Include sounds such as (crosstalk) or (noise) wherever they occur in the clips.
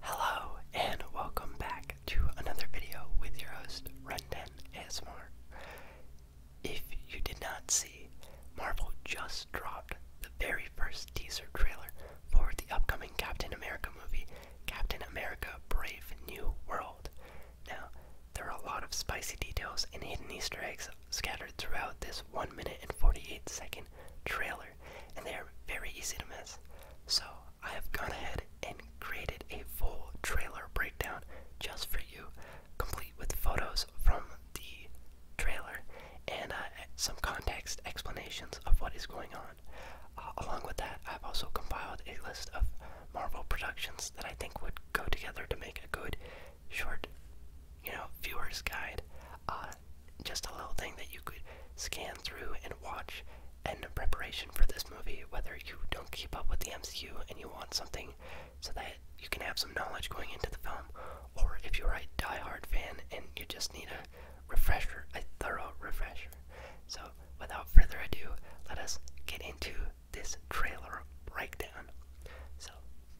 Hello and welcome back to another video with your host Rendon ASMR. If you did not see, Marvel just dropped the very first teaser trailer for the upcoming Captain America movie, Captain America Brave New World. Now, there are a lot of spicy details and hidden Easter eggs scattered throughout this 1 minute and 48 second trailer and they are very easy to miss. So I have gone ahead and created a full trailer breakdown just for you, complete with photos from the trailer and uh, some context explanations of what is going on. Uh, along with that, I've also compiled a list of Marvel productions that I think would go together to make a good short, you know, viewer's guide. Uh, just a little thing that you could scan through and watch a preparation for this movie, whether you don't keep up with the MCU and you want something so that you can have some knowledge going into the film, or if you're a die-hard fan and you just need a refresher, a thorough refresher. So, without further ado, let us get into this trailer breakdown. So,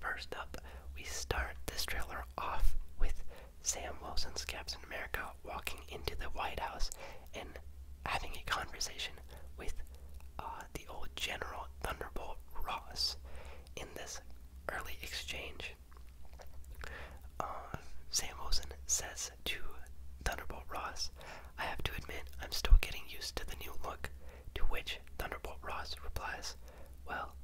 first up, we start this trailer off with Sam Wilson's Captain America walking into the White House and having a conversation with uh, the old General Thunderbolt Ross. In this early exchange, uh, Sam Wilson says to Thunderbolt Ross, I have to admit, I'm still getting used to the new look. To which Thunderbolt Ross replies, well,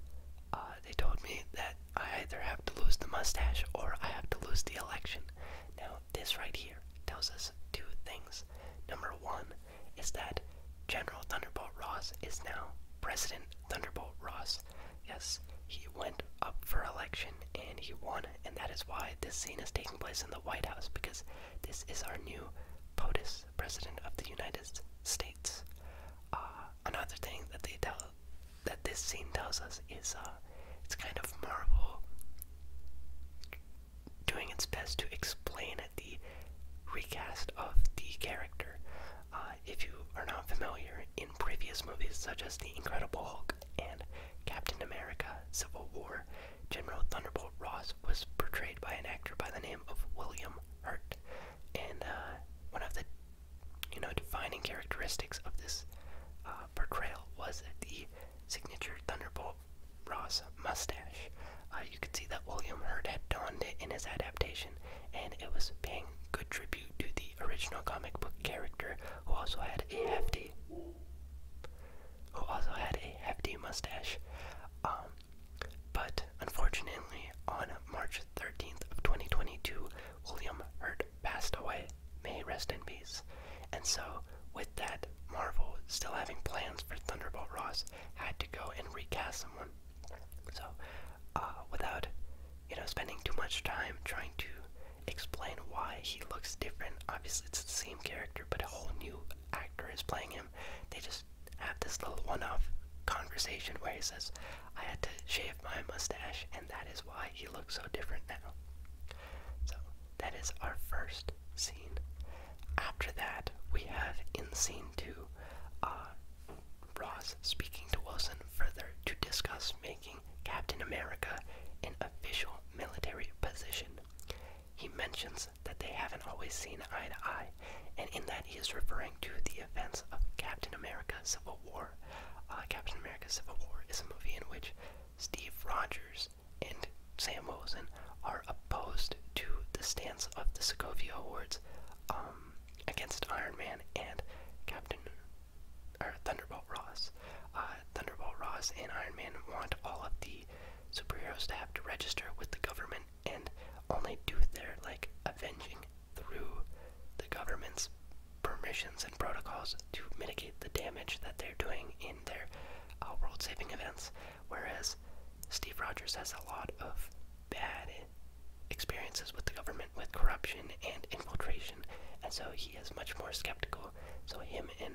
uh, they told me that I either have to lose the mustache or I have to lose the election. Now, this right here tells us two things. Number one is that General Thunderbolt Ross is now President Thunderbolt Ross. Yes, he went up for election and he won, and that is why this scene is taking place in the White House because this is our new POTUS, President of the United States. Uh, another thing that they tell that this scene tells us is uh, it's kind of Marvel doing its best to explain the recast of the character. Uh, if you are not familiar, in previous movies such as The Incredible Hulk and Captain America Civil War, General Thunderbolt Ross was portrayed by an actor by the name of William Hurt. And uh, one of the you know, defining characteristics of this uh, portrayal was the signature Thunderbolt Ross mustache. Uh, you can see that William Hurt had donned it in his adaptation, and it was paying good tribute to the original comic book character, who also had a hefty, who also had a hefty mustache. Um, but unfortunately, on March 13th of 2022, William Hurt passed away. May rest in peace. And so, with that, Marvel, still having plans for Thunderbolt Ross, had to go and recast someone. So, uh, without, you know, spending too much time trying to explain why he looks different, obviously it's the same character, but a whole new actor is playing him. They just have this little one off conversation where he says, I had to shave my mustache, and that is why he looks so different now. So, that is our first scene. After that, we have in scene two uh, Ross speaking to Wilson further to discuss making Captain America an official military position. He mentions that they haven't always seen eye to eye, and in that he is referring to the events of Captain America Civil War uh, Captain America Civil War is a movie in which Steve Rogers and Sam Wilson are opposed to the stance of the Sokovia Awards um, against Iron Man and Captain or Thunderbolt Ross. Uh, Thunderbolt Ross and Iron Man want all of the superheroes to have to register with the government and only do their like avenging through the government's permissions and protocols to mitigate the damage that they're doing in their uh, world saving events. Whereas Steve Rogers has a lot of bad experiences with the government, with corruption and infiltration, and so he is much more skeptical. So, him and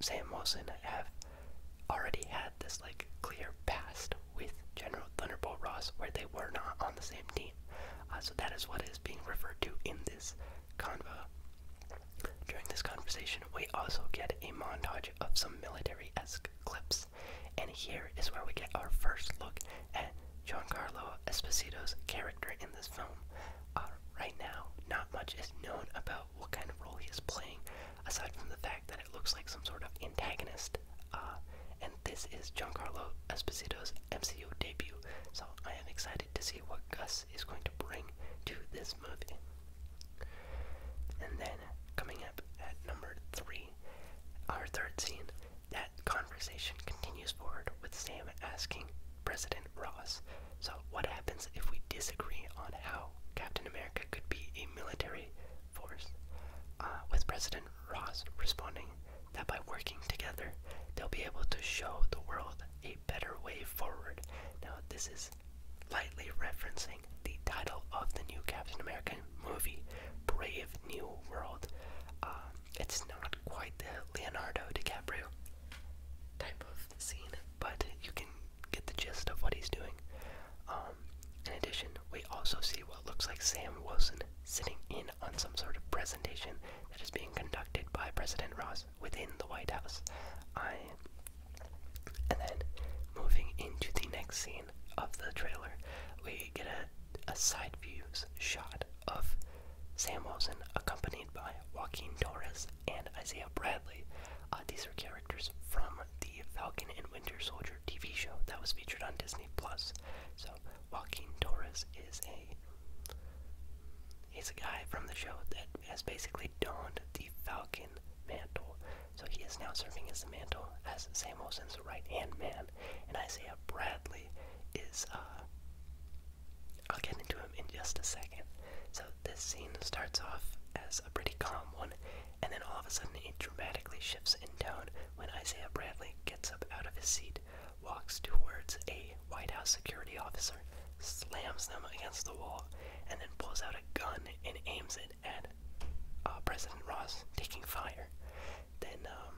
Sam Wilson have already had this like clear past with General Thunderbolt Ross where they were not on the same team. Uh, so that is what is being referred to in this convo. During this conversation, we also get a montage of some military esque clips, and here is where we get our first look at Giancarlo Esposito's character in this film. Uh, right now, not much is known about what kind of role he is playing, aside from the fact that it looks like some sort of antagonist. Uh, and this is Giancarlo Esposito's MCU debut, so I am excited to see what Gus is going to bring to this movie. And then, coming up at number three, our third scene, that conversation continues forward with Sam asking President Ross, so what happens if we disagree on how Captain America could be a military force? Uh, with President Ross responding, that by working together, they'll be able to show the world a better way forward. Now, this is lightly referencing the title of the new Captain America movie, Brave New World. Um, it's not quite the Leonardo DiCaprio type of scene, but you can get the gist of what he's doing. Um, in addition, we also see what looks like Sam Wilson sitting in on some sort of presentation that is being conducted by President Ross within the White House. I and then moving into the next scene of the trailer, we get a, side views shot of Sam Wilson accompanied by Joaquin Torres and Isaiah Bradley. Uh, these are characters from the Falcon and Winter Soldier TV show that was featured on Disney Plus. So Walking Joaquin Torres is a he's a guy from the show that has basically donned the Falcon mantle. So he is now serving as the mantle as Sam Wilson's right hand man. And Isaiah Bradley is uh I'll get into him in just a second. So this scene starts off as a pretty calm one, and then all of a sudden it dramatically shifts in tone when Isaiah Bradley gets up out of his seat walks towards a White House security officer, slams them against the wall, and then pulls out a gun and aims it at uh, President Ross, taking fire. Then um,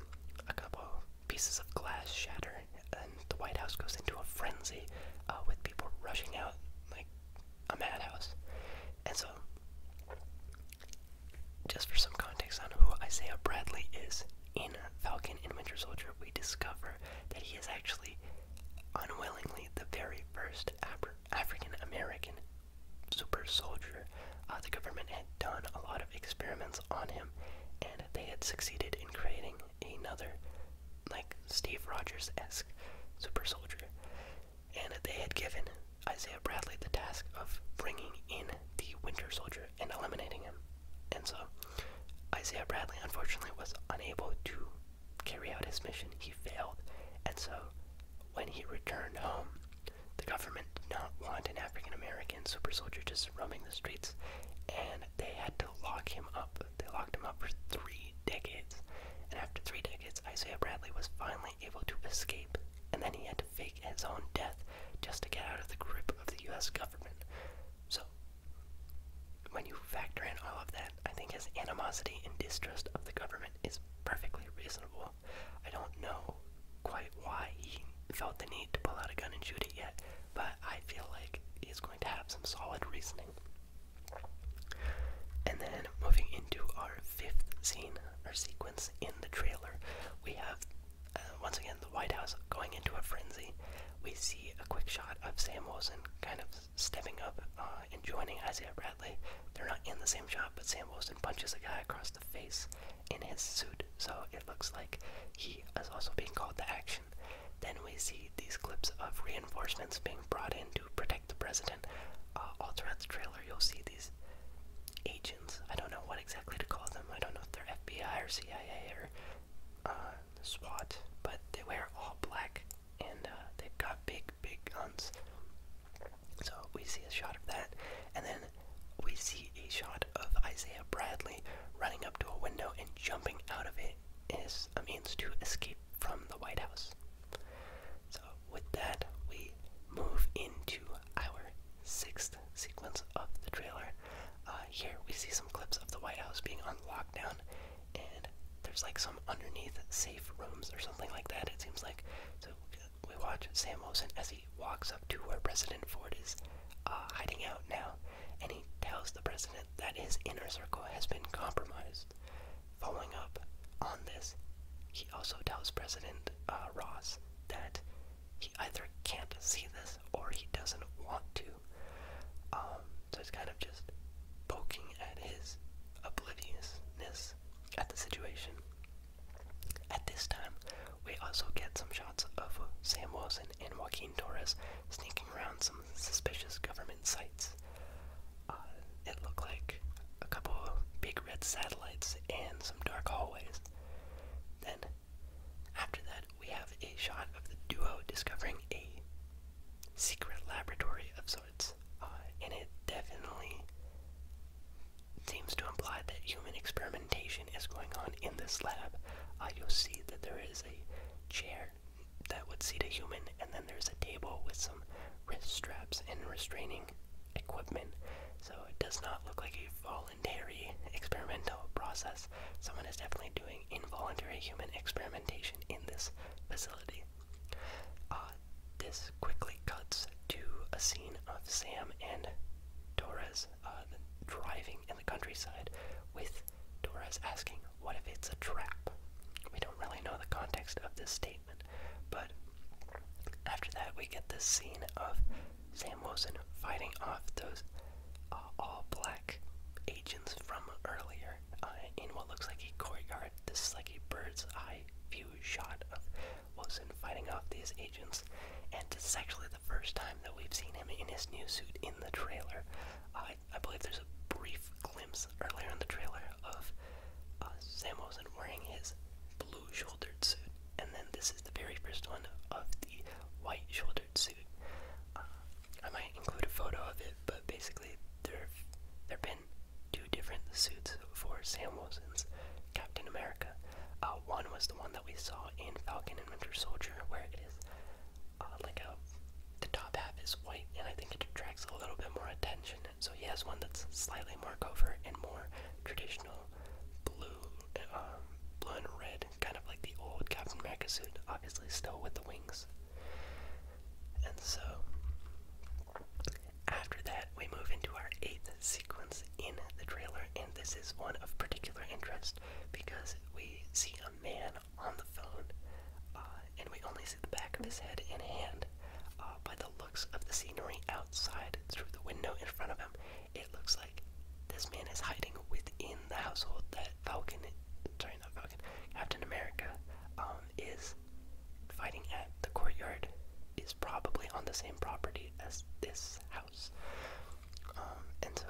a couple pieces of glass shatter, and the White House goes into a frenzy uh, with people rushing out like a madhouse. And so, just for some context on who Isaiah Bradley is, in Falcon and Winter Soldier, we discover that he is actually unwillingly the very first African American super soldier. Uh, the government had done a lot of experiments on him, and they had succeeded in creating another, like Steve Rogers esque super soldier. And they had given Isaiah Bradley the task of bringing in the Winter Soldier and eliminating him. And so Isaiah Bradley unfortunately was unable to carry out his mission. He failed. And so when he returned home, the government did not want an African American super soldier just roaming the streets, and they had to lock him up. They locked him up for three decades. And after three decades, Isaiah Bradley was finally able to escape, and then he had to face fake his own death just to get out of the grip of the US government. So, when you factor in all of that, I think his animosity and distrust of the government is perfectly reasonable. I don't know quite why he felt the need to pull out a gun and shoot it yet, but I feel like he's going to have some solid reasoning. And then moving into our fifth scene or sequence in the trailer, we have uh, once again, the White House going into a frenzy. We see a quick shot of Sam Wilson kind of stepping up uh, and joining Isaiah Bradley. They're not in the same shot, but Sam Wilson punches a guy across the face in his suit, so it looks like he is also being called to action. Then we see these clips of reinforcements being brought in to protect the president. Uh, all throughout the trailer, you'll see these agents I don't know what exactly to call them. I don't know if they're FBI or CIA or uh, SWAT, but they wear all black and uh, they've got big, big guns. So we see a shot of that, and then we see a shot of Isaiah Bradley running up to a window and jumping out of it as a means to escape from the White House. So, with that, we move into our sixth sequence of the trailer. Uh, here we see some clips of the White House being on lockdown, and there's like some underneath safe rooms or something like that, it seems like. So we watch Sam Wilson as he walks up to where President Ford is uh, hiding out now, and he tells the president that his inner circle has been compromised. Following up on this, he also tells President uh, Ross that he either can't see this or he doesn't want to. Um, so it's kind of just poking at his obliviousness at the situation. At this time, we also get some shots of Sam Wilson and Joaquin Torres sneaking around some suspicious government sites. Uh, it looked like a couple big red satellites and some dark hallways. Then after that, we have a shot of the duo discovering a secret laboratory of sorts, uh, and it definitely seems to imply that human experimentation is going on in this lab. Uh, you'll see that there is a chair that would seat a human, and then there's a table with some wrist straps and restraining equipment. So it does not look like a fall involuntary experimental process. Someone is definitely doing involuntary human experimentation in this facility. Uh, this quickly cuts to a scene of Sam and Dora's uh, driving in the countryside with Dora's asking, What if it's a trap? We don't really know the context of this statement, but after that, we get this scene of Sam Wilson fighting off those uh, all black agents from earlier uh, in what looks like a courtyard. This is like a bird's eye view shot of Wilson fighting off these agents, and it's actually the first time that we've seen him in his new suit in the trailer. I believe there's a brief glimpse earlier in the trailer of uh, Sam Wilson wearing his blue shouldered suit, and then this is the very first one of the white shouldered suit. Uh, I might include a photo of it, but basically there there've been two different suits for Sam Wilson's Captain America. Uh, one was the one that we saw in Falcon and Winter Soldier, where it is uh, like a the top half is white, and I think it attracts a little bit more attention. So he has one that's slightly more covert and more traditional blue, um, blue and red kind of like the old Captain America suit, obviously still with the wings. And so, after that, we move into our eighth sequence in the trailer, and this is one of particular interest because we see a man on the phone, uh, and we only see the back of his head and hand. Uh, by the looks of the scenery outside through the window in front of him, it looks like this man is hiding within the household that Falcon, sorry, not Falcon, Captain America um, is fighting at. The courtyard is probably on the same property as this house. Um, and so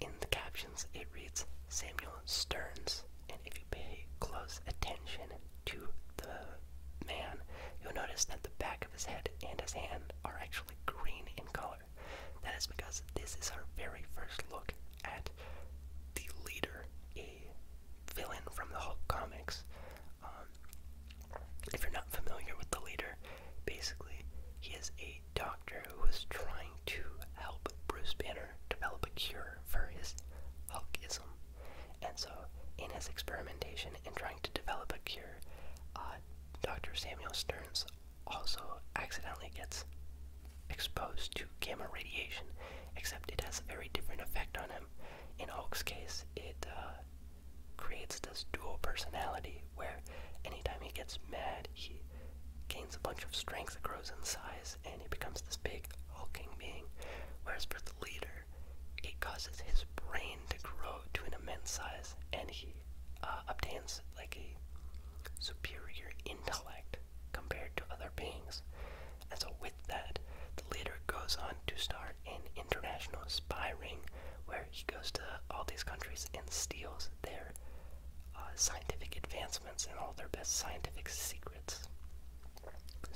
in the captions, it reads Samuel Stearns. And if you pay close attention to the man, you'll notice that the back of his head and his hand are actually green in color. That is because this is our very first look at the leader, a villain from the Hulk comics. Um, if you're not familiar with the leader, basically he is a doctor who is trying to help Bruce Banner develop a cure for his Hulkism. And so, in his experimentation in trying to develop a cure, uh, Dr. Samuel Sterns also accidentally gets exposed to gamma radiation, except it has a very different effect on him. In Hulk's case, it uh, creates this dual personality where anytime he gets mad, he gains a bunch of strength that grows in size and he becomes this big hulking being. Whereas for the leader, it causes his brain to grow to an immense size and he uh, obtains like a superior intellect compared to other beings. And so, with that, the leader goes on to start an international spy ring where he goes to all these countries and steals their uh, scientific advancements and all their best scientific secrets.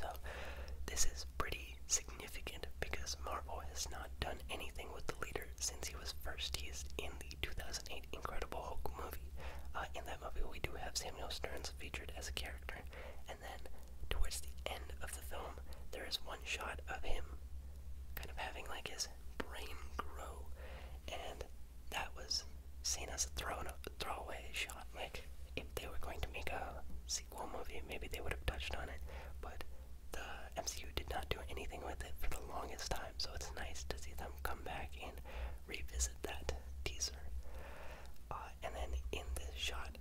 So, this is pretty significant because Marvel has not done anything with the leader since he was first teased in the 2008 Incredible Hulk movie. Uh, in that movie, we do have Samuel Stearns featured as a character, and then towards the end of the film, there is one shot of him kind of having like his brain grow, and that was seen as a throwaway shot. Like if they were going to make a sequel movie, maybe they would have touched on it, but the MCU did not do anything with it for the longest time, so it's nice to see them come back and revisit that teaser. Uh, and then in this shot,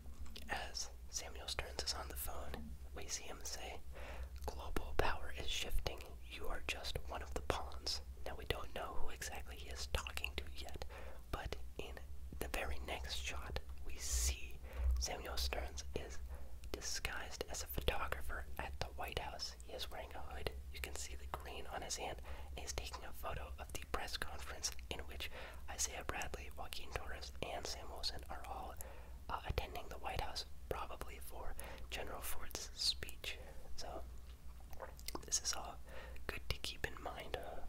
as Samuel Stearns is on the phone, we see him say, Global power is shifting. You are just one of the pawns. Now, we don't know who exactly he is talking to yet, but in the very next shot, we see Samuel Stearns is disguised as a photographer at the White House he is wearing a hood. You can see the green on his hand, He is taking a photo of the press conference in which Isaiah Bradley, Joaquin Torres, and Sam Wilson are all uh, attending the White House, probably for General Ford's speech. So, this is all good to keep in mind. Uh,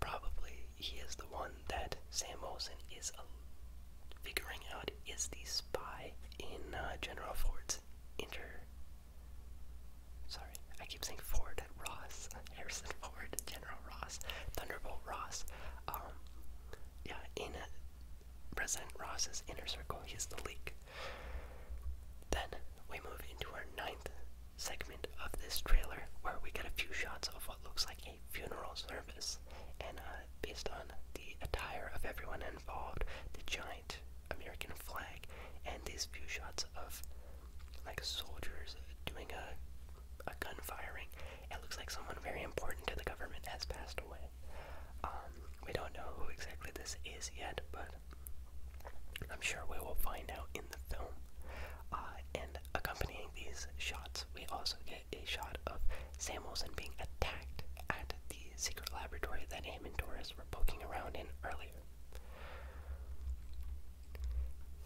probably he is the one that Sam Wilson is uh, figuring out is the spy in uh, General Ford's inner? Sorry, I keep saying Ford Ross, (laughs) Harrison Ford, General Ross, Thunderbolt Ross. Um, yeah, in uh, President Ross's inner circle, he's the leak. Then we move into our ninth segment of this trailer, where we get a few shots of what looks like a funeral service, and uh, based on the attire of everyone involved, the giant American flag, and these few shots of like soldiers doing a, a gun firing. It looks like someone very important to the government has passed away. Um, we don't know who exactly this is yet, but I'm sure we will find out in the film. Uh, and accompanying these shots, we also get a shot of Sam Wilson being attacked at the secret laboratory that him and Doris were poking around in earlier.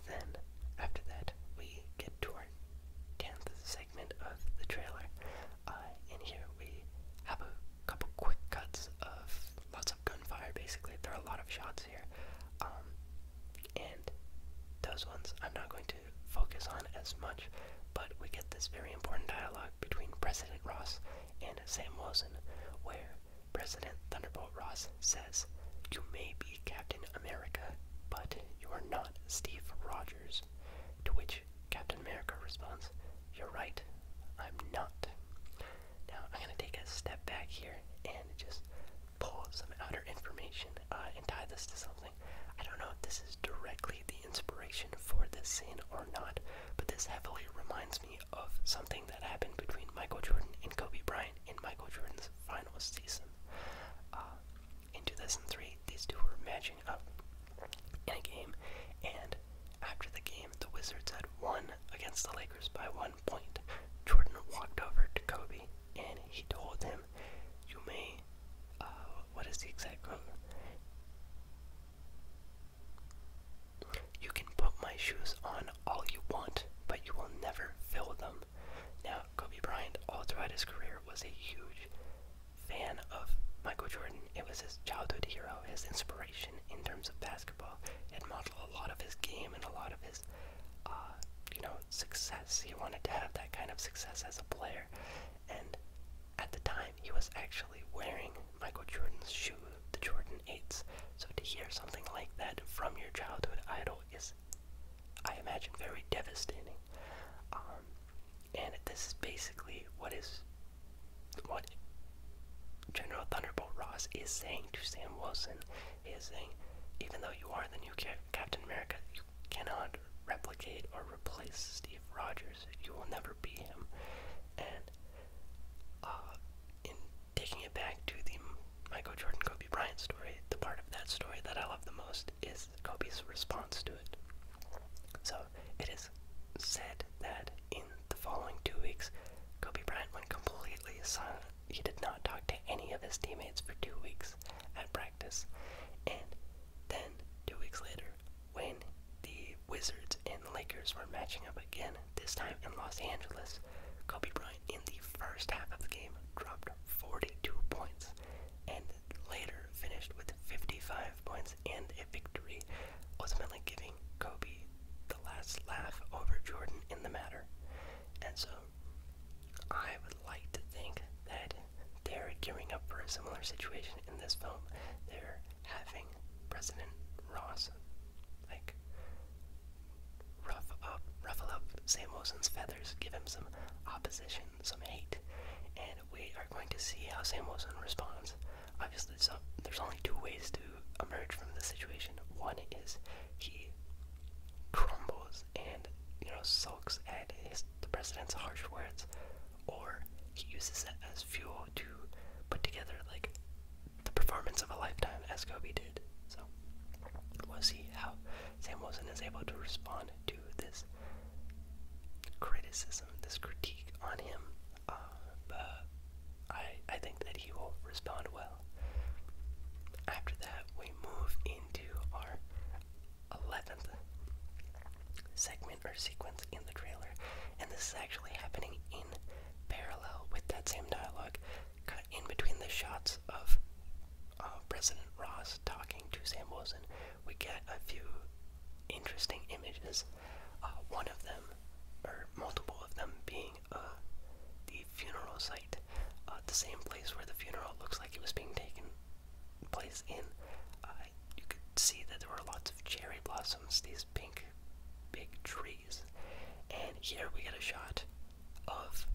Then, after that, we get to our 10th segment of the trailer. In uh, here we have a couple quick cuts of lots of gunfire, basically. There are a lot of shots here. Um, and those ones I'm not going to focus on as much, but we get this very important dialogue between President Ross and Sam Wilson, where President Thunderbolt Ross says, You may be Captain America, but you are not Steve Rogers. To which Captain America responds, You're right, I'm not. Now, I'm going to take a step back here and just pull some outer information uh, and tie this to something I don't know if this is directly the inspiration for this scene or not, but this heavily reminds me of something that happened between Michael Jordan and Kobe Bryant in Michael Jordan's final season. Uh, in 2003, these two were matching up in a game, and after the game, the Wizards had won against the Lakers by one point. Jordan walked over to Kobe and he told him, You may uh, what is the exact quote? You can put my shoes on all you want, but you will never fill them. Now, Kobe Bryant, all throughout his career, was a huge fan of Michael Jordan. It was his childhood hero, his inspiration in terms of basketball. It modeled a lot of his game and a lot of his, uh, you know, success. He wanted to have that kind of success as a player, at the time, he was actually wearing Michael Jordan's shoe, the Jordan 8s. So to hear something like that from your childhood idol is, I imagine, very devastating. Um, and this is basically what is what General Thunderbolt Ross is saying to Sam Wilson. He is saying, even though you are the new Captain America, you cannot replicate or replace Steve Rogers. Rogers. You will never be him. And uh, in taking it back to the Michael Jordan Kobe Bryant story, the part of that story that I love the most is Kobe's response to it. So it is said that in the following two weeks, Kobe Bryant went completely silent. He did not talk to any of his teammates for two weeks at practice, and then, two weeks later, when the Wizards and the Lakers were matching up again, this time in Los Angeles, Kobe Bryant in the first half of the game dropped 42 points and later finished with 55 points and a victory, ultimately giving Kobe the last laugh over Jordan in the matter. And so I would like to think that they're gearing up for a similar situation in this film. They're having President Ross like ruffle up Sam Wilson's feathers, give him some opposition, some hate, and we are going to see how Sam Wilson responds. Obviously, there's only two ways to emerge from this situation. One is he crumbles and you know sulks at his, the president's harsh words, or he uses it as fuel to put together like the performance of a lifetime as Kobe did. So we'll see how Sam Wilson is able to respond to this criticism, this critique on him. Uh, but I I think that he will respond well. After that, we move into our 11th segment or sequence in the trailer, and this is actually happening in parallel with that same dialogue, cut in between the shots of uh, President Ross talking to Sam Wilson. We get a few interesting images, uh, one of them, or multiple of them, being uh, the funeral site, uh, the same place where the funeral looks like it was being taken place in. Uh, you could see that there were lots of cherry blossoms, these pink, big trees. And here we get a shot of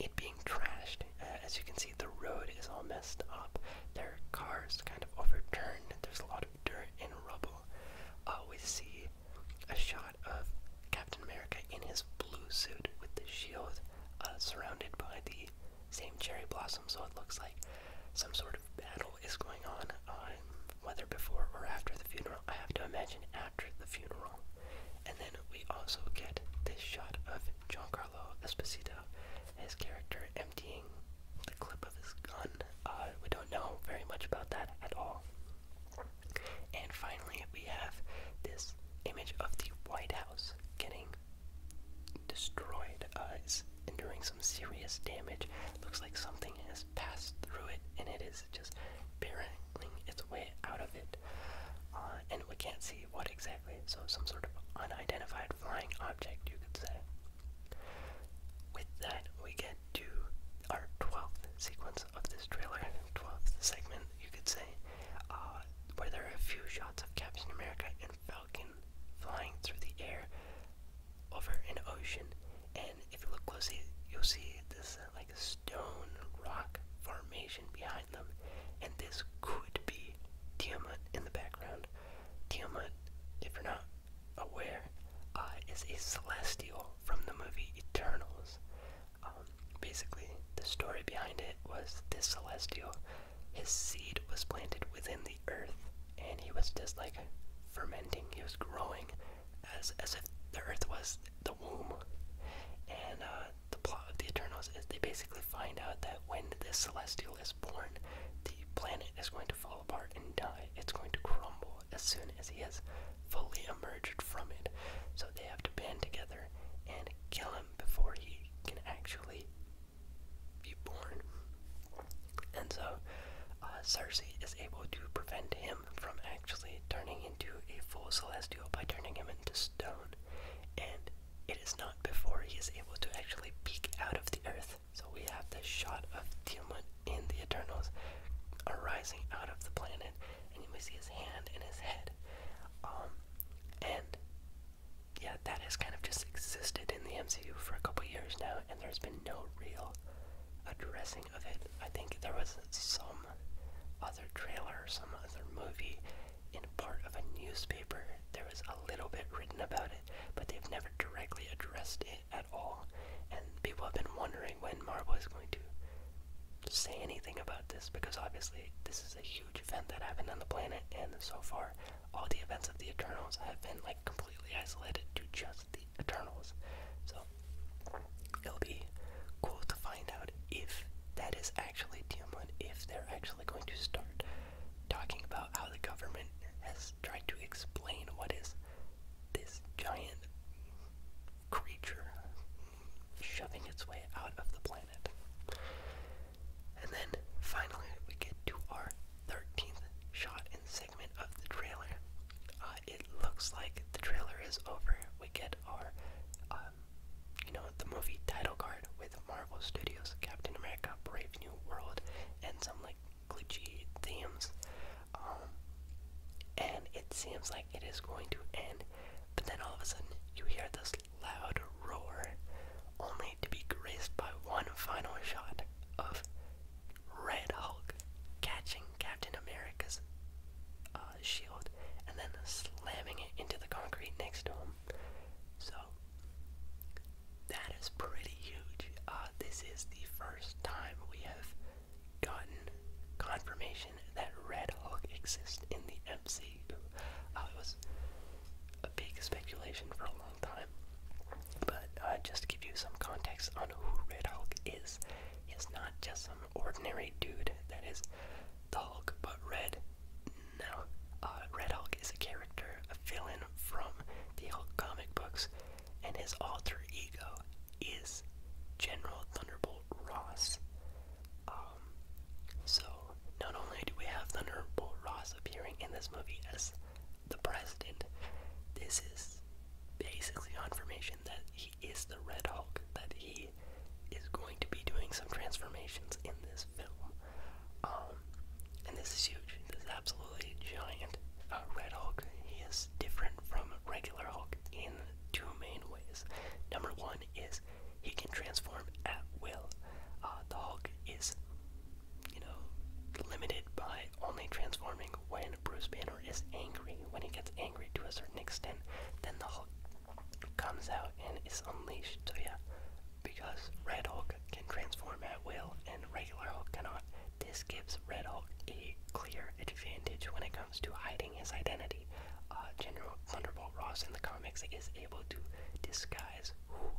it being trashed. Uh, as you can see, the road is all messed up. There are cars kind of overturned. There's a lot of dirt and rubble. Uh, we see a shot of Captain America in his blue suit with the shield, uh, surrounded by the same cherry blossom, so it looks like some sort of battle is going on, whether before or after the funeral. I have to imagine after the funeral. And then we also get this shot of Giancarlo Esposito, his character emptying the clip of his gun. Uh, we don't know very much about that at all. And finally, we have this image of the White House getting destroyed. Uh, enduring some serious damage. Looks like something has passed through it and it is just barreling its way out of it. Uh, and we can't see what exactly, so some sort of unidentified flying object, you could say. With that, we get to our 12th sequence of this trailer, 12th segment, you could say, uh, where there are a few shots of Captain America and Falcon flying through the air, over an ocean, and if you look closely, you'll see this uh, like stone rock formation behind them, and this could be Tiamat in the background. Tiamat, if you're not aware, uh, is a celestial from the movie Eternals. Um, basically, the story behind it was this celestial his seed was planted within the earth, and he was just like fermenting, he was growing as, as if the earth was the womb. And uh, the plot of the Eternals is they basically find out that when this celestial is born, the planet is going to fall apart and die. It's going to crumble as soon as he has fully emerged from it. So they have to band together and kill him before he can actually be born. And so uh, Cersei is able to prevent him from actually turning into a full celestial by turning him into stone. And it is not before he is able to actually peek out of the earth. So we have this shot of Tiamat in the Eternals arising out of the planet, and you may see his hand and his head. Um, and yeah, that has kind of just existed in the MCU for a couple years now, and there's been no real addressing of it. I think there was some other trailer, some other movie, in part of a newspaper. There was a little bit written about it, but they've never directly addressed it at all. And people have been wondering when Marvel is going to say anything about this because obviously this is a huge event that happened on the planet, and so far all the events of the Eternals have been like completely isolated to just the Eternals. So it'll be cool to find out if that is actually Teamwood, if they're actually going to start talking about how the government has tried to explain what is this giant creature shoving its way out of the planet. And then finally we get to our 13th shot in segment of the trailer. Uh, it looks like the trailer is over. We get our, um, you know, the movie title card with Marvel Studios, Captain America, Brave New World, and some like glitchy themes. Um, and it seems like it is going to end, but then all of a sudden you hear this loud roar, only to be graced by one final shot of Red Hulk catching Captain America's uh, shield and then slamming it into the concrete next to him. So that is pretty huge. Uh, this is the first time we have gotten confirmation that Red Hulk exists in the MCU. Uh, it was a big speculation for a long long time. But uh, just to give you some context on who Red Hulk is, he's not just some ordinary dude that is the Hulk, but Red. No, uh, Red Hulk is a character, a villain from the Hulk comic books, and his alter ego is General Thunderbolt Ross. Um, so not only do we have Thunderbolt Ross appearing in this movie as the president. This is basically confirmation that he is the Red Hulk, that he is going to be doing some transformations in this film. Um, and this is huge. This is absolutely giant. Uh, Red Hulk, he is different from regular Hulk in two main ways. Number one is he can transform at will. Uh, the Hulk is, you know, limited by only transforming when Bruce Banner is angry. When he gets angry to a certain extent, then the Hulk comes out and is unleashed. So yeah, because Red Hulk can transform at will and regular Hulk cannot, this gives Red Hulk a clear advantage when it comes to hiding his identity. Uh, General Thunderbolt Ross in the comics is able to disguise who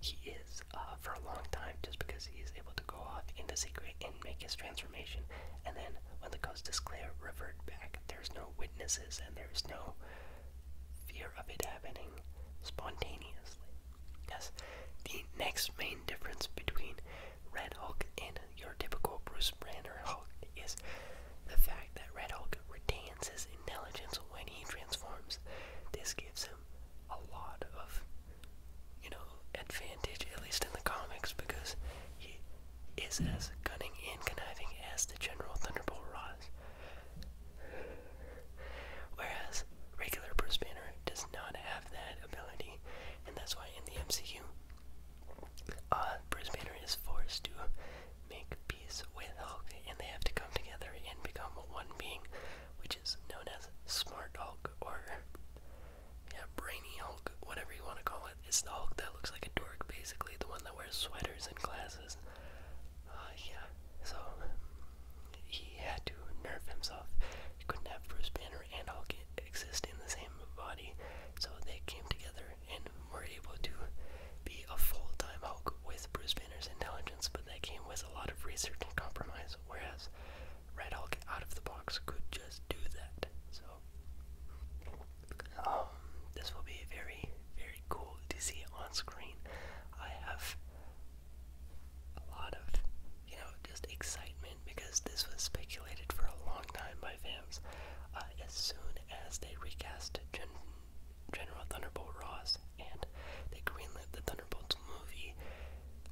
he is uh, for a long time just because he is able to go off into secret and make his transformation. And then when the ghost is clear, revert back. There's no witnesses and there's no fear of it happening spontaneously. Yes, the next main difference between Red Hulk and your typical Bruce Banner Hulk is the fact that Red Hulk retains his intelligence when he transforms. This gives him a lot of you know, advantage, at least in the comics, because he is as cunning and conniving as the General Thunderbolt Ross. Whereas regular Bruce Banner does not have that ability, and that's why in the MCU, uh, Bruce Banner is forced to make peace with Hulk, and they have to come together and become one being which is known as Smart Hulk or yeah, Brainy Hulk, whatever you want to call it. It's the Hulk that looks like a dork, basically, the one that wears sweaters and glasses. Uh, yeah, so he had to nerf himself. He couldn't have Bruce Banner and Hulk exist in the same body, so they came together and were able to be a full-time Hulk with Bruce Banner's intelligence, but that came with a lot of research and compromise. Whereas Red Hulk out of the box could just do that. So um, this will be very, very cool to see on screen. I have a lot of, you know, just excitement because this was speculated for a long time by fans. Uh, as soon as they recast Gen Thunderbolt Ross and they greenlit the Thunderbolt. Thunderbolts movie,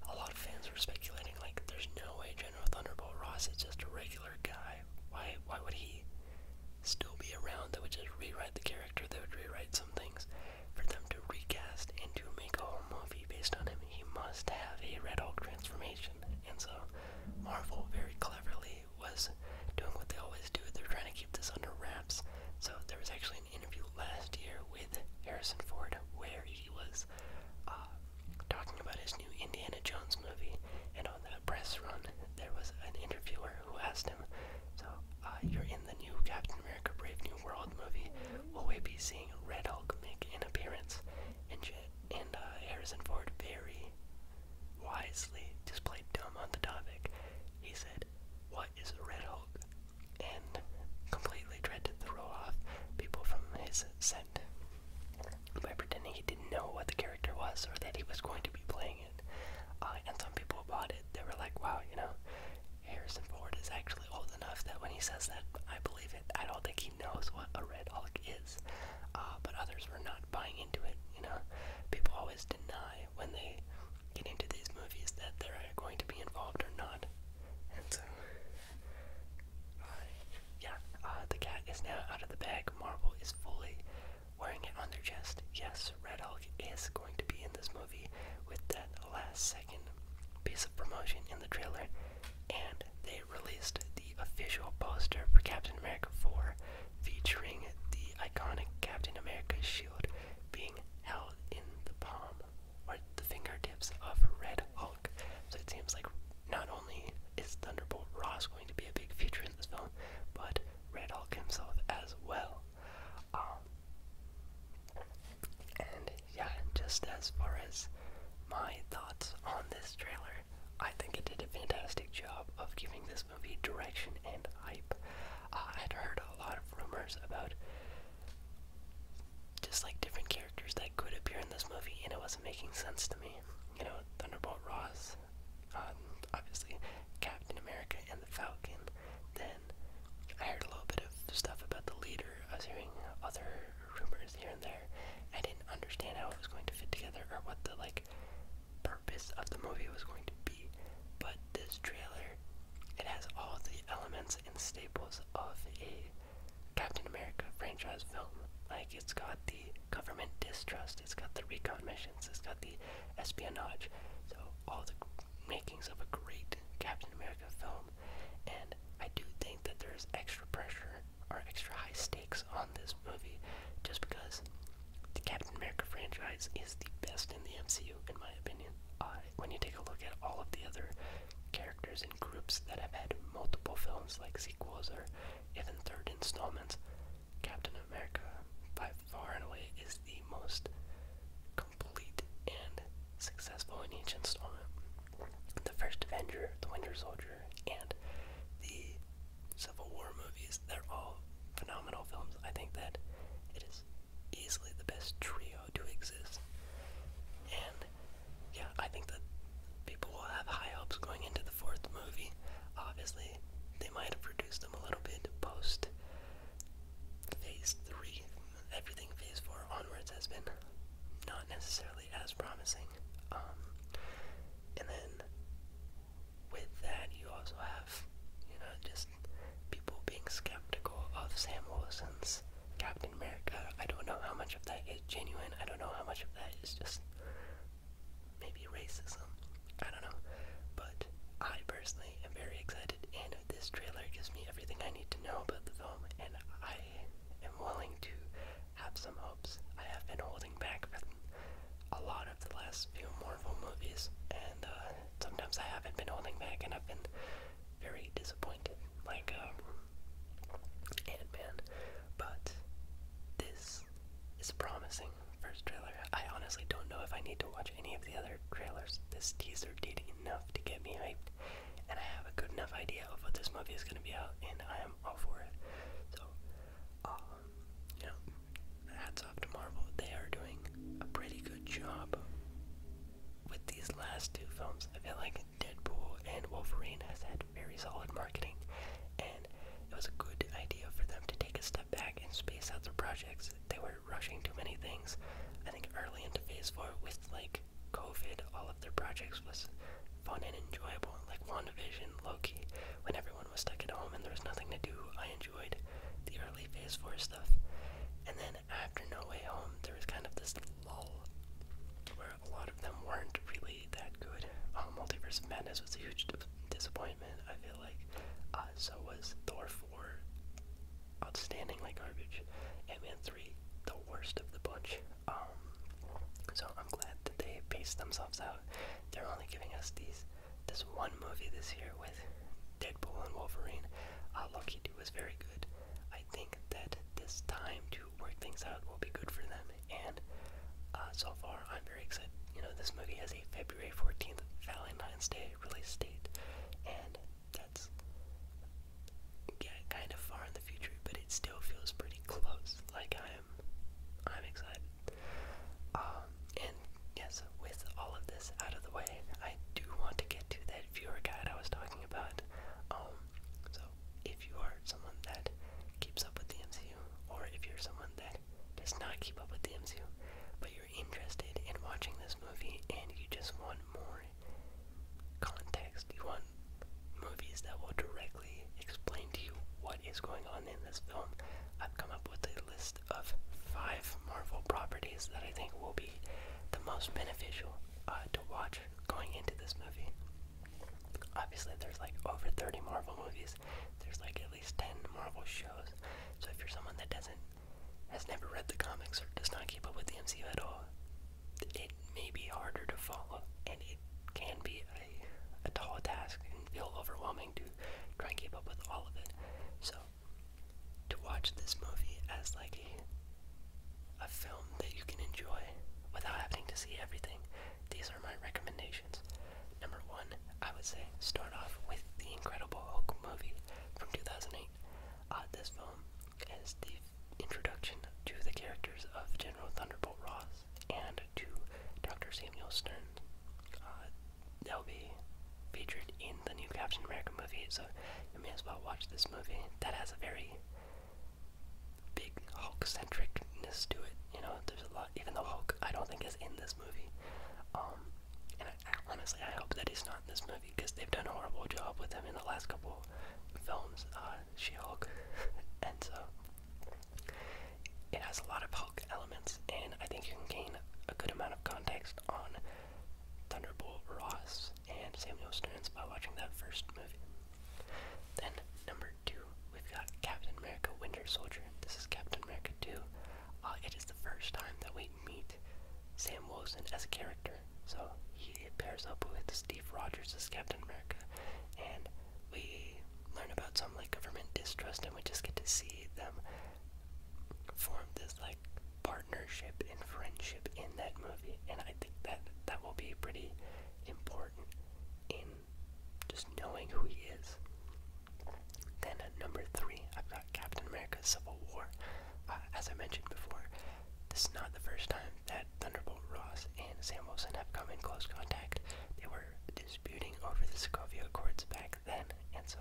a lot of fans were speculating like, there's no way General Thunderbolt Ross is just a regular guy. Why? Why would he still be around? They would just rewrite the character. They would rewrite some things for them to recast and to make a whole movie based on him. He must have a Red Hulk transformation, and so Marvel very cleverly was doing what they always do. They're trying to keep this under wraps. So there was actually an interview last year with Harrison Ford where he was uh, talking about his new Indiana Jones movie, and on that press run, there was an interviewer who asked him, So, uh, you're in the new Captain America Brave New World movie, will we be seeing Red Hulk make an appearance? And, uh, and uh, Harrison Ford very wisely just played dumb on the topic. He said, What is Red Hulk? and completely tried to throw off people from his set by pretending he didn't know what the character was or that he was going to be playing it. Uh, and some people bought it. They were like, wow, you know, Harrison Ford is actually old enough that when he says that, I believe it. I don't think he knows what a Red Hulk is. Uh, but others were not buying into it, you know. People always deny when they get into these movies that they're going to be involved or not so, uh, yeah, uh, the cat is now out of the bag. Marvel is fully wearing it on their chest. Yes, Red Hulk is going to be in this movie with that last second piece of promotion in the trailer. And they released the official poster for Captain America 4 featuring the iconic Captain America shield being held in the palm or the fingertips of Red Hulk. So it seems like not only is Thunderbolt Ross going to be a big feature in this film, but Red Hulk himself as well. Um, and yeah, just as far as my thoughts on this trailer, I think it did a fantastic job of giving this movie direction and hype. Uh, i had heard a lot of rumors about just like different characters that could appear in this movie, and it wasn't making sense to me. You know, Thunderbolt Ross, um, obviously Captain America and the Falcon. Then I heard a little bit of stuff about the leader. I was hearing other rumors here and there. I didn't understand how it was going to fit together or what the like purpose of the movie was going to be. But this trailer it has all the elements and staples of a Captain America franchise film. Like, it's got the government distrust, it's got the recon missions, it's got the espionage. So, all the makings of a great Captain America film. And I do think that there's extra pressure or extra high stakes on this movie just because the Captain America franchise is the best in the MCU, in my opinion. I when you take a look at all of the other characters and groups that have had multiple films like sequels or even third installments, Captain America by far and away is the most complete and successful in each installment. The first Avenger, the Winter Soldier, and the Civil War movies, they're all phenomenal films. I think that it is is easily the best trio to exist. And yeah, I think that people will have high hopes going into the fourth movie. Obviously, they might have reduced them a little bit post phase three. Everything phase four onwards has been not necessarily as promising. Um, and then with that, you also have, you know, just people being skeptical of Sam Wilson's Captain America. I don't know how much of that is genuine. I don't know how much of that is just maybe racism. I don't know. But I personally am very excited, and this trailer gives me everything I need to know about the film, and I am willing to have some hopes. I have been holding back for a lot of the last few Marvel movies, and uh, sometimes I haven't been holding back, and I've been very disappointed like um, Ant-Man, but this is promising first trailer. I honestly don't know if I need to watch any of the other trailers. This teaser did enough to get me hyped, and I have a good enough idea of what this movie is going to be out, and I am all for it. So, um, you know, hats off to Marvel. They are doing a pretty good job with these last two films, I feel like Deadpool and Wolverine has had very solid marketing, and it was a good idea for them to take a step back and space out their projects. They were rushing too many things. I think early into Phase Four, with like COVID, all of their projects was fun and enjoyable, like WandaVision, Loki. When everyone was stuck at home and there was nothing to do, I enjoyed the early Phase Four stuff, and then after No Way Home, there was kind of this lull where a lot of them weren't really that good. Uh, Multiverse of Madness was a huge disappointment, I feel like. Uh, so was Thor 4, outstanding like garbage. Ant-Man 3, the worst of the bunch. Um, so I'm glad that they paced themselves out. They're only giving us these this one movie this year with Deadpool and Wolverine. Lucky uh, Loki was very good. I think that this time to work things out will be good for them. And uh, so far, I'm very excited. You know, this movie has a February 14th Valentine's Day release date, and that's yeah, kind of far in the future, but it still feels pretty close. Like I'm, I'm excited. Um, and yes, with all of this out of the way, I do want to get to that viewer guide I was talking about. Um, so, if you are someone that keeps up with the MCU, or if you're someone that does not keep up with the MCU, but you're interested in watching this movie and you just want more context, you want movies that will directly explain to you what is going on in this film, I've come up with a list of five Marvel properties that I think will be the most beneficial uh, to watch going into this movie. Obviously, there's like over 30 Marvel movies. There's like at least 10 Marvel shows. So if you're someone that doesn't, has never read the comics or does not keep up with the MCU at all, it may be harder to follow, and it can be a tall task and feel overwhelming to try and keep up with all of it. So to watch this movie as like a a film that you can enjoy without having to see everything, these are my recommendations. Number one, I would say start off with the Incredible Hulk movie from 2008. Uh, this film is the introduction to the characters of General Thunderbolt Ross and to Dr. Samuel Stern. Uh, they'll be featured in the new Captain America movie, so you may as well watch this movie that has a very big Hulk centricness to it. You know, there's a lot. Even though Hulk, I don't think is in this movie. Um, and I, honestly, I hope that he's not in this movie because they've done a horrible job with him in the last couple films. Uh, She-Hulk, (laughs) and so it has a lot of Hulk elements, and I think you can gain a good amount of context on Thunderbolt Ross Hanks and Samuel Stearns by watching that first movie. Then, number two, we've got Captain America Winter Soldier. This is Captain America 2. Uh, it is the first time that we meet Sam Wilson as a character. So, he pairs up with Steve Rogers as Captain America, and we learn about some like government distrust, and we just get to see them form this like part partnership and friendship in that movie, and I think that that will be pretty important in just knowing who he is. Then at number three, I've got Captain America: Civil War. Uh, as I mentioned before, this is not the first time that Thunderbolt Ross and Sam Wilson have come in close contact. They were disputing over the Sokovia Accords back then, and so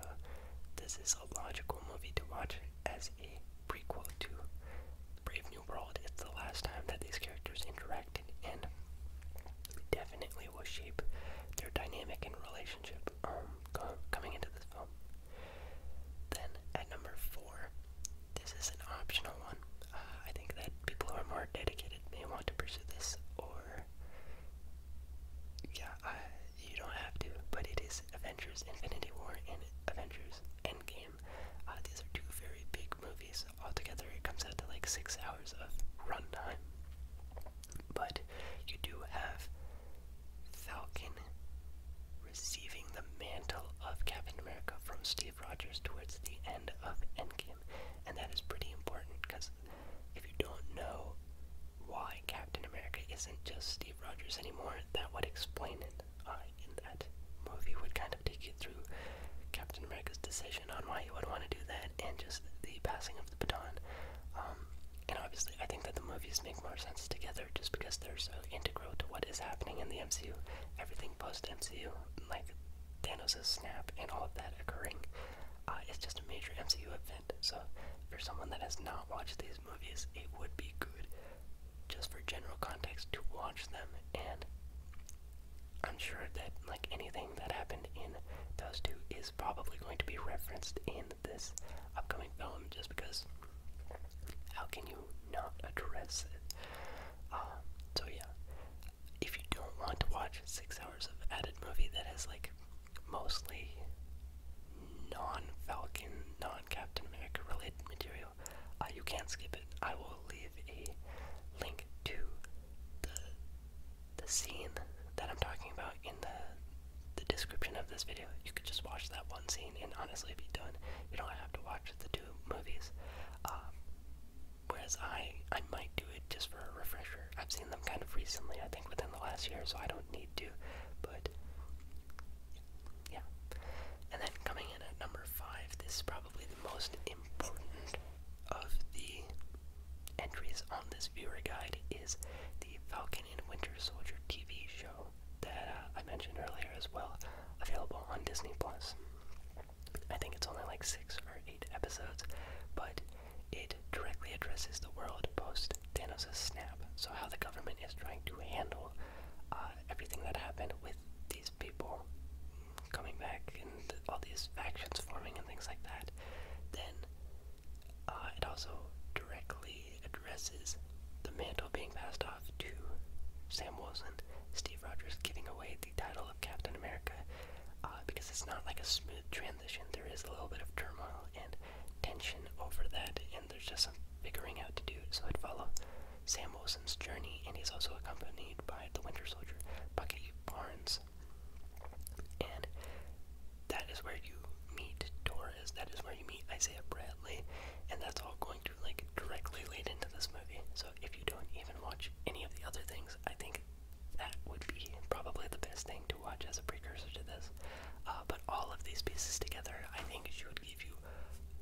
this is a logical movie to watch as a prequel to Brave New World, it's the last time that these characters interacted and definitely will shape their dynamic and relationship um, coming into this film. Then at number four, this is an optional one. Uh, I think that people who are more dedicated may want to pursue this, or yeah, you don't have to. But it is Avengers: Infinity War and Avengers: Endgame. Uh, these are two very big movies. Altogether, it comes out to like six hours of runtime. But you do have Falcon receiving the mantle of Captain America from Steve Rogers towards the end of Endgame. And that is pretty important because if you don't know why Captain America isn't just Steve Rogers anymore, that would explain it. I in that movie would kind of take you through Captain America's decision on why he would want to do that and just the passing of the baton. Um, and obviously, I think that the movies make more sense together just because they're so integral to what is happening in the MCU. Everything post MCU, like Thanos' snap and all of that occurring, uh, is just a major MCU event. So, for someone that has not watched these movies, it would be good just for general context to watch them and I'm sure that like anything that happened in those two is probably going to be referenced in this upcoming film just because how can you not address it? Uh, so yeah, if you don't want to watch six hours of added movie that has like mostly non-Falcon, non-Captain America related material, uh, you can't skip it. I will leave a link to the the scene that I'm talking about in the the description of this video. You could just watch that one scene and honestly be done. You don't have to watch the two movies. Um, whereas I I might do it just for a refresher. I've seen them kind of recently. I think within the last year, so I don't need to. But yeah. And then coming in at number five, this is probably the most important of the entries on this viewer guide is the Falcon and Winter Soldier TV show that uh, I mentioned earlier as well, available on Disney Plus. I think it's only like six or eight episodes, but it directly addresses the world post Thanos' snap, so how the government is trying to handle uh, everything that happened with these people coming back and all these factions forming and things like that, then uh, it also directly addresses the mantle being passed off to Sam Wilson, Steve Rogers giving away the title of Captain America, uh, because it's not like a smooth transition. There is a little bit of turmoil and tension over that, and there's just some figuring out to do. So I'd follow Sam Wilson's journey, and he's also accompanied by the Winter Soldier, Bucky Barnes. And that is where you meet Torres, that is where you meet Isaiah Bradley, and that's all going to like directly lead into this movie. So if you don't even watch any of the other things, I think that would be probably the best thing to watch as a precursor to this. Uh, but all of these pieces together, I think, should give you you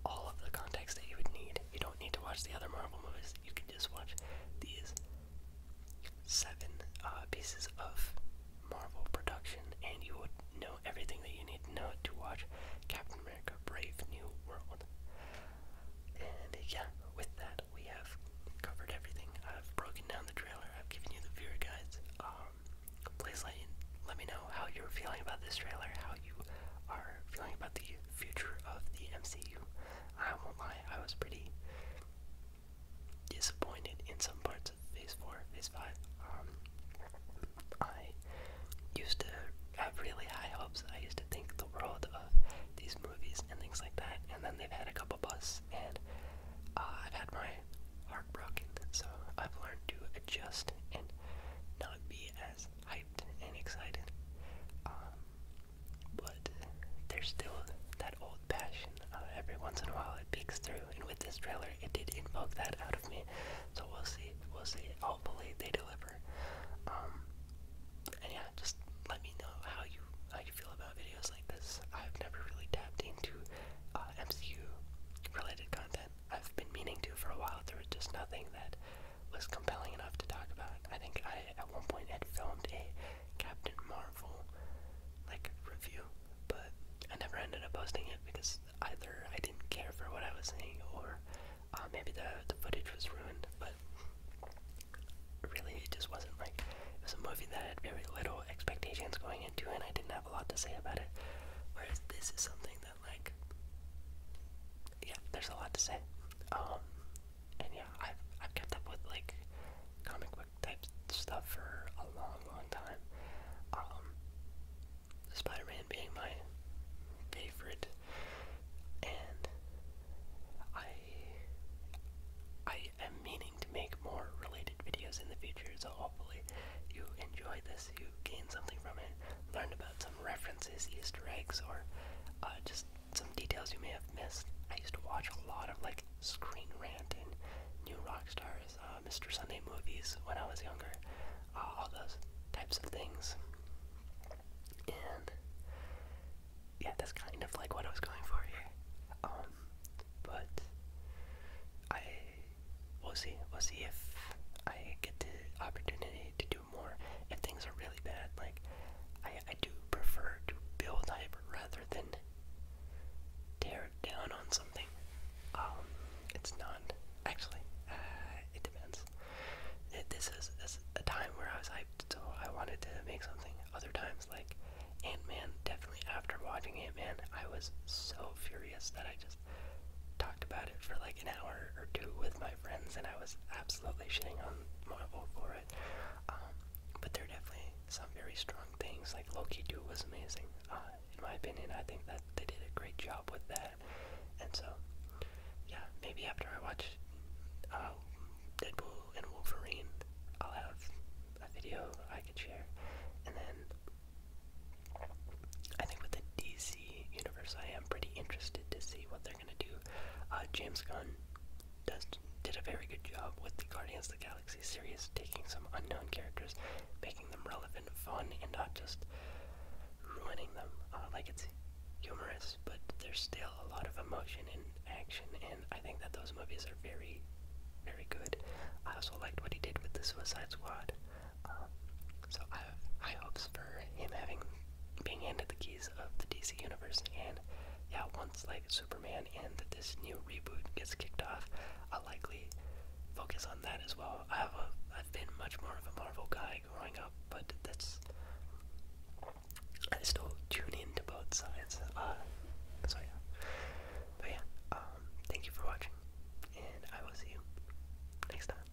all of the context that you would need. You don't need to watch the other Marvel movies. You can just watch these seven uh, pieces of Marvel production, and you would know everything that you need to know to watch Captain America: Brave New World. And yeah, with that, we have covered everything. I've broken down the trailer. I've given you the viewer guides. Um, please let you, let me know how you're feeling about this trailer, how you are feeling about the future of the MCU. I won't lie, I was pretty disappointed in some parts of Phase 4, Phase 5. Um, I used to have really high hopes. I used to think the world of these movies and things like that, and then they've had a couple busts, and uh, I've had my heart broken. So I've learned to adjust and not be as hyped and excited. Um, but there's still that old passion. every once in a while it peeks through, and with this trailer, it did invoke that out of me. So we'll see. We'll see. Hopefully they deliver. Um, and yeah, just let me know how you how you feel about videos like this. I've never really tapped into uh, MCU related content. I've been meaning to for a while. There was just nothing that was compelling enough to talk about. I think I, at one point, had filmed a Captain Marvel like review, but I never ended up posting it because either I didn't care for what I was saying or uh, maybe the, the footage was ruined. But really, it just wasn't like it was a movie that I had very little expectations going into, and I didn't have a lot to say about it. Whereas this is something that, like, yeah, there's a lot to say. Um, and yeah, I've I've kept up with like comic book type stuff for a long, long time. Um, Spider-Man being my favorite, and I I am meaning to make more related videos in the future. So hopefully you enjoyed this, you gained something from it, learned about something some references, Easter eggs, or uh, just some details you may have missed. I used to watch a lot of like Screen Rant and New rock stars, uh, Mr. Sunday movies when I was younger, uh, all those types of things. And yeah, that's kind of like what I was going for here. Um, but I will see. We'll see if I get the opportunity to do more if things are really bad. Like I, do prefer to build hype rather than tear down on something. Um, it's not actually. Uh, it depends. this, is, this is a time where I was hyped, so I wanted to make something. Other times, like Ant Man, definitely after watching Ant Man, I was so furious that I just talked about it for like an hour or two with my friends, and I was absolutely shitting on Marvel for it. Um, but there are definitely some very strong things. Like Loki 2 was amazing, uh, in my opinion. I think that they did a great job with that. And so, yeah, maybe after I watch uh, Deadpool and Wolverine, I'll have a video I could share. And then, I think with the DC universe, I am pretty interested to see what going to do. Uh, James Gunn does, did a very good job with the Guardians of the Galaxy series, taking some unknown characters, making them relevant, fun, and not just ruining them. Uh, like it's humorous, but there's still a lot of emotion and action, and I think that those movies are very, very good. I also liked what he did with the Suicide Squad. Um, so I have high hopes for him having being handed the keys of the DC universe and yeah, once like Superman and this new reboot gets kicked off, I'll likely focus on that as well. I have a I've been much more of a Marvel guy growing up, but that's I still tune in to both sides. Uh, so yeah. But yeah, um, thank you for watching and I will see you next time.